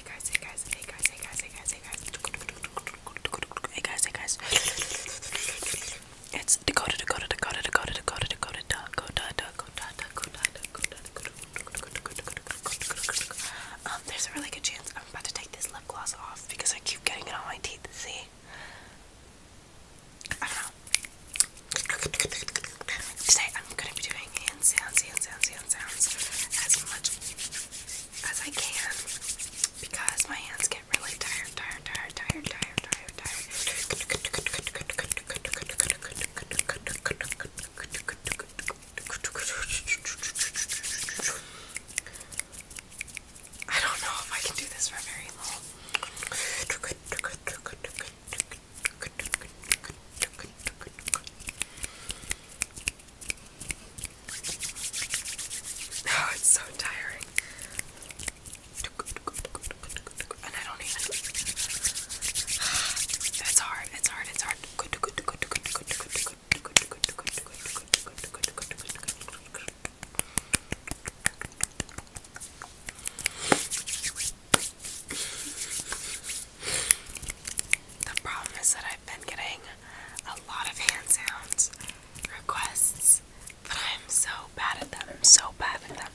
hey guys, hey guys, hey guys, hey guys, hey guys, hey guys, hey guys, hey guys. It's Dakota, Dakota, Dakota, Dakota, Dakota, Dakota, Dakota, Dakota, Dakota, Dakota, Dakota. Um, there's a really good chance I'm about to take this lip gloss off because I keep getting it on my teeth. See? I don't know. Today I'm gonna be doing hand sounds, hand sounds, as much as I can because my hands get really tired, tired, tired, tired, tired, tired, tired. I don't know if I can do this for very long. Oh, it's so tiring. And I don't even. It's hard, it's hard, it's hard. The problem is that I've been getting a lot of hand sounds requests, but I'm so bad at them. so bad at them.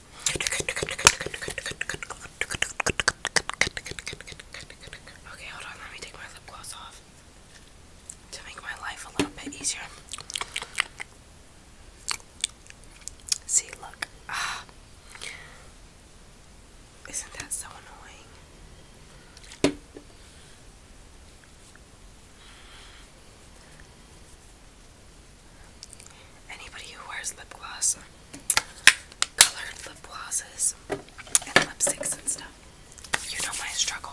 Okay, hold on. Let me take my lip gloss off to make my life a little bit easier. See, look. Ah. Isn't that so annoying? Anybody who wears lip gloss, colored lip glosses, and lipsticks and stuff, you know my struggle.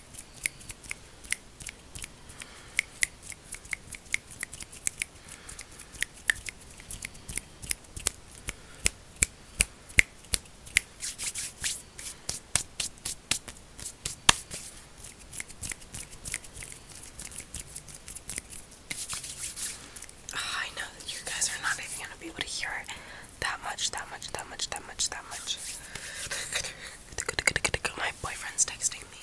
Oh, I know that you guys are not even going to be able to hear it, that much, that much, that much, that much, that much. My boyfriend's texting me.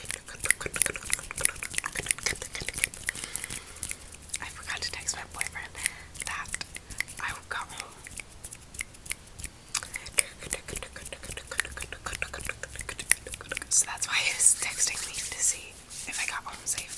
I forgot to text my boyfriend that I got home. So that's why he was texting me to see if I got home safe.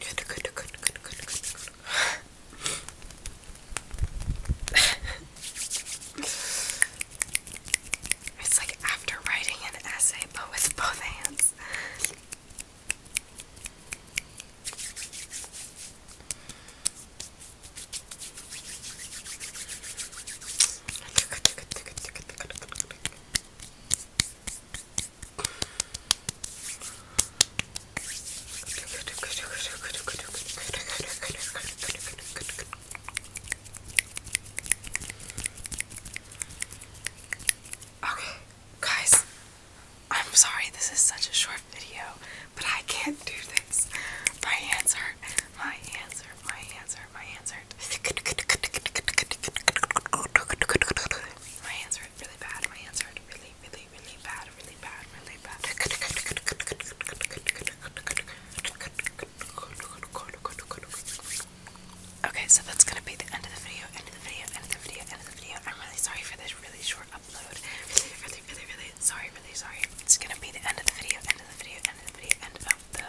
Good, good, it's like after writing an essay, but with both hands. Okay, guys, I'm sorry this is such a short video, but I can't do this. My hands hurt. My hands hurt my hands hurt, my hands hurt. My hands hurt really bad, my hands hurt really, really, really bad, really bad, really bad. Okay, so that's gonna be the end of the video, end of the video, end of the video, end of the video. I'm really sorry for this really short upload. Really, really, really, really sorry, really sorry. It's gonna be the end of the video, end of the video, end of the video, end of the